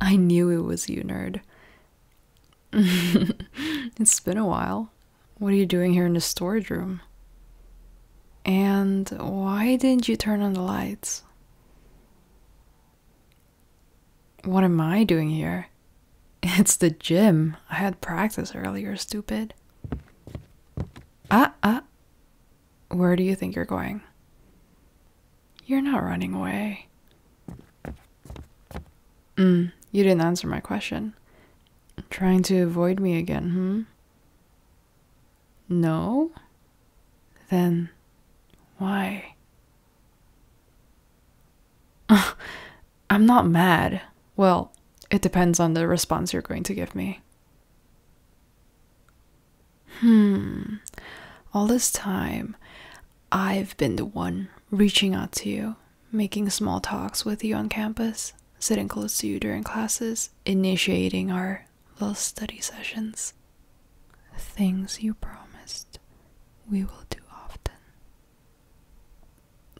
I knew it was you, nerd. it's been a while. What are you doing here in the storage room? And why didn't you turn on the lights? What am I doing here? It's the gym. I had practice earlier, stupid. Ah, ah. Where do you think you're going? You're not running away. Hmm. you didn't answer my question. Trying to avoid me again, hmm? No? Then why? I'm not mad. Well, it depends on the response you're going to give me. Hmm, all this time I've been the one reaching out to you, making small talks with you on campus, sitting close to you during classes, initiating our little study sessions. Things you promised we will do often.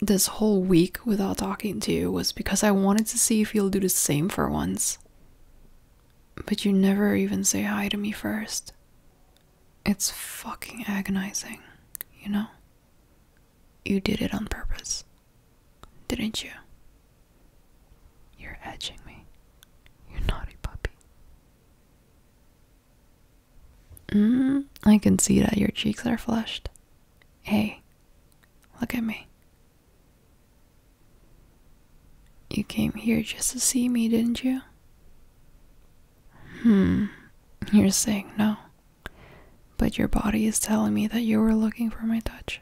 This whole week without talking to you was because I wanted to see if you'll do the same for once. But you never even say hi to me first. It's fucking agonizing, you know? You did it on purpose, didn't you? You're edging me. You naughty puppy. Mm, I can see that your cheeks are flushed. Hey, look at me. You came here just to see me, didn't you? Hmm, you're saying no. But your body is telling me that you were looking for my touch.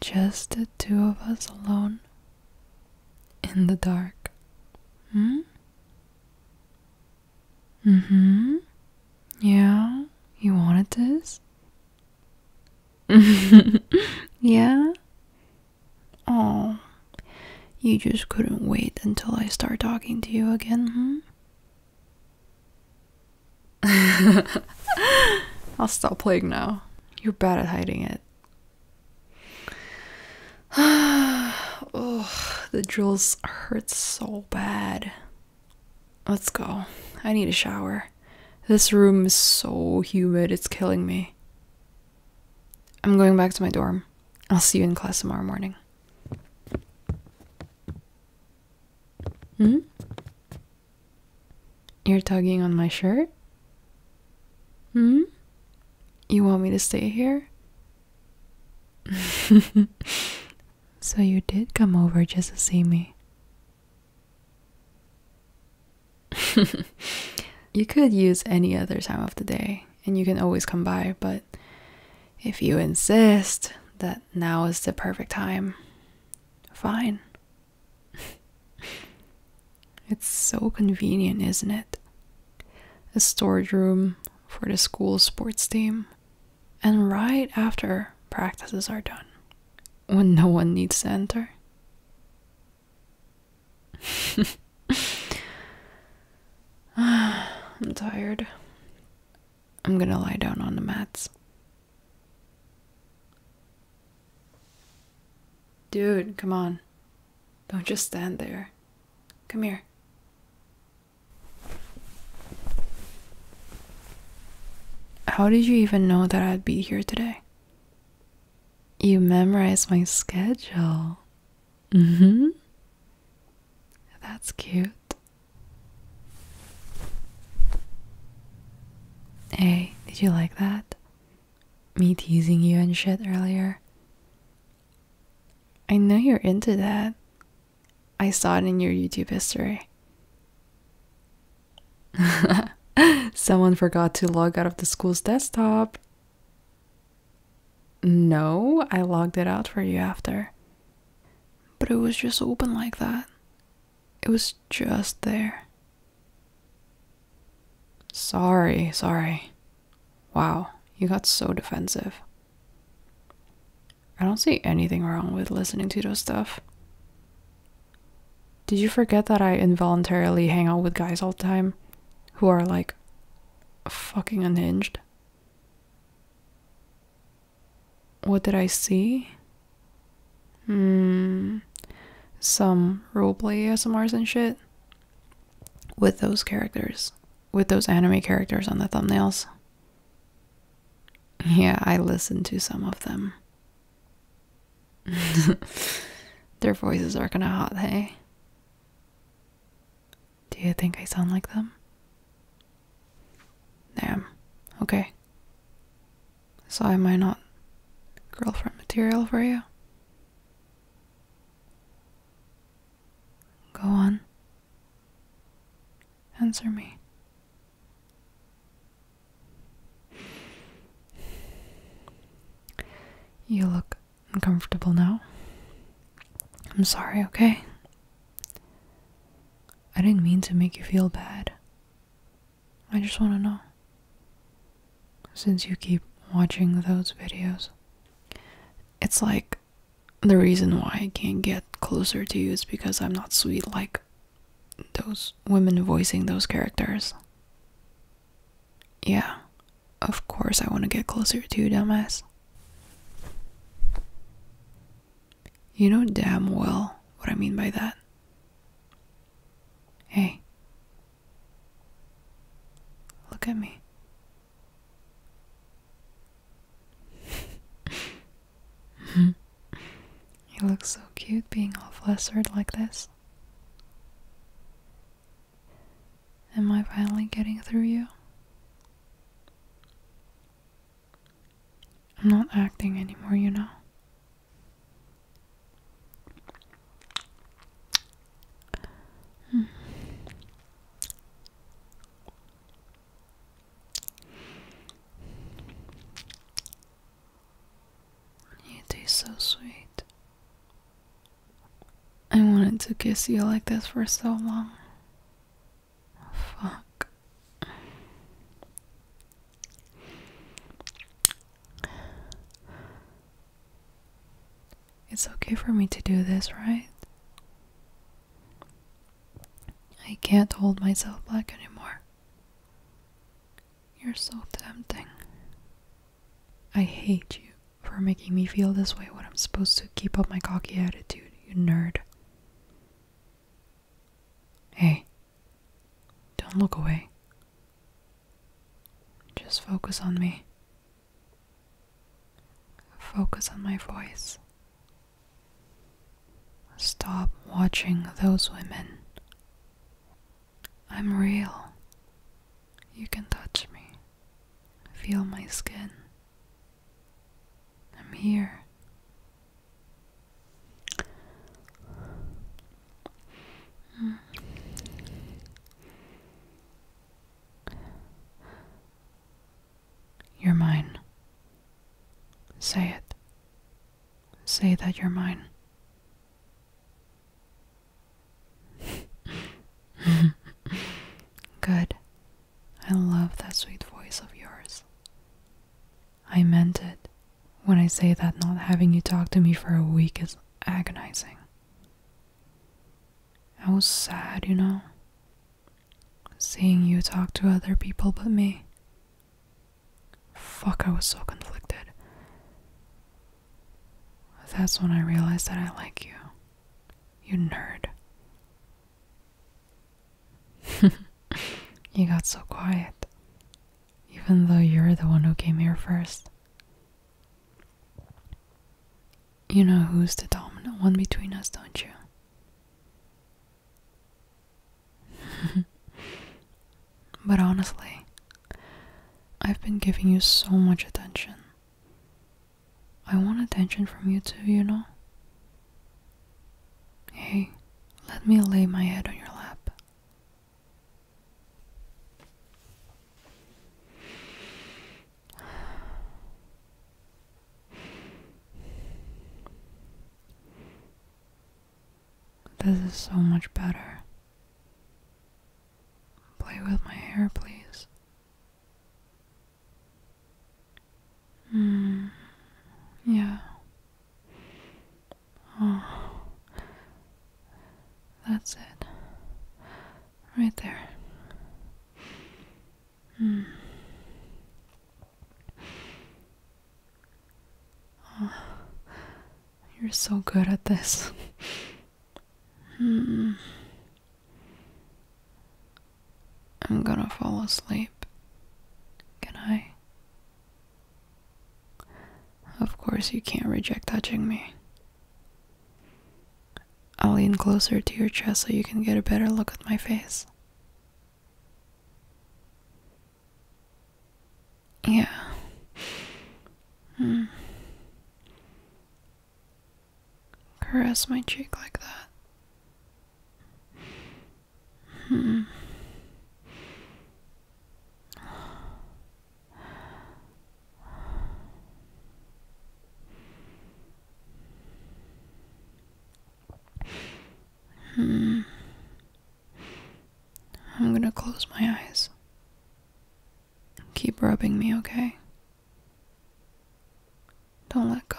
Just the two of us alone. In the dark. Hmm? Mm hmm. Yeah, you wanted this? yeah? Oh. You just couldn't wait until I start talking to you again, I'll stop playing now. You're bad at hiding it. oh, the drills hurt so bad. Let's go. I need a shower. This room is so humid, it's killing me. I'm going back to my dorm. I'll see you in class tomorrow morning. Hmm? You're tugging on my shirt? Hmm? You want me to stay here? So you did come over just to see me. you could use any other time of the day, and you can always come by, but if you insist that now is the perfect time, fine. it's so convenient, isn't it? A storage room for the school sports team and right after practices are done, when no one needs to enter. I'm tired. I'm gonna lie down on the mats. Dude, come on. Don't just stand there. Come here. How did you even know that I'd be here today? You memorized my schedule. Mm hmm. That's cute. Hey, did you like that? Me teasing you and shit earlier. I know you're into that, I saw it in your YouTube history. Someone forgot to log out of the school's desktop. No, I logged it out for you after. But it was just open like that. It was just there. Sorry, sorry. Wow, you got so defensive. I don't see anything wrong with listening to those stuff. Did you forget that I involuntarily hang out with guys all the time who are like fucking unhinged? What did I see? Hmm. Some roleplay ASMRs and shit with those characters, with those anime characters on the thumbnails. Yeah, I listen to some of them. Their voices are kind of hot, hey? Do you think I sound like them? Damn. Okay. So am I not girlfriend material for you? Go on. Answer me. You look uncomfortable now. I'm sorry, okay? I didn't mean to make you feel bad. I just want to know. Since you keep watching those videos, it's like the reason why I can't get closer to you is because I'm not sweet like those women voicing those characters. Yeah, of course I want to get closer to you, dumbass. You know damn well what I mean by that. Hey, look at me you look so cute being all flustered like this. Am I finally getting through you? I'm not acting anymore, you know. Hmm. You taste so sweet. I wanted to kiss you like this for so long. Fuck. It's okay for me to do this, right? I can't hold myself back anymore. You're so tempting. I hate you for making me feel this way when I'm supposed to keep up my cocky attitude, you nerd. Hey, don't look away. Just focus on me. Focus on my voice. Stop watching those women. I'm real. You can touch me. Feel my skin. I'm here. You're mine. Say it. Say that you're mine. Good. I love that sweet voice of yours. I meant it when I say that not having you talk to me for a week is agonizing. I was sad, you know. Seeing you talk to other people but me. Fuck, I was so conflicted. That's when I realized that I like you. You nerd. you got so quiet. Even though you're the one who came here first. You know who's the dominant one between us, don't you? but honestly, I've been giving you so much attention. I want attention from you too, you know? Hey, let me lay my head on your lap. This is so much better. Play with my hair, please. Mm, yeah. Oh. That's it. Right there. Hmm. Oh, you're so good at this. Hmm. I'm gonna fall asleep. Can I? Of course, you can't reject touching me. I'll lean closer to your chest so you can get a better look at my face. Yeah. Hmm. Caress my cheek like that. Hmm. Hmm. I'm gonna close my eyes. Keep rubbing me, okay? Don't let go.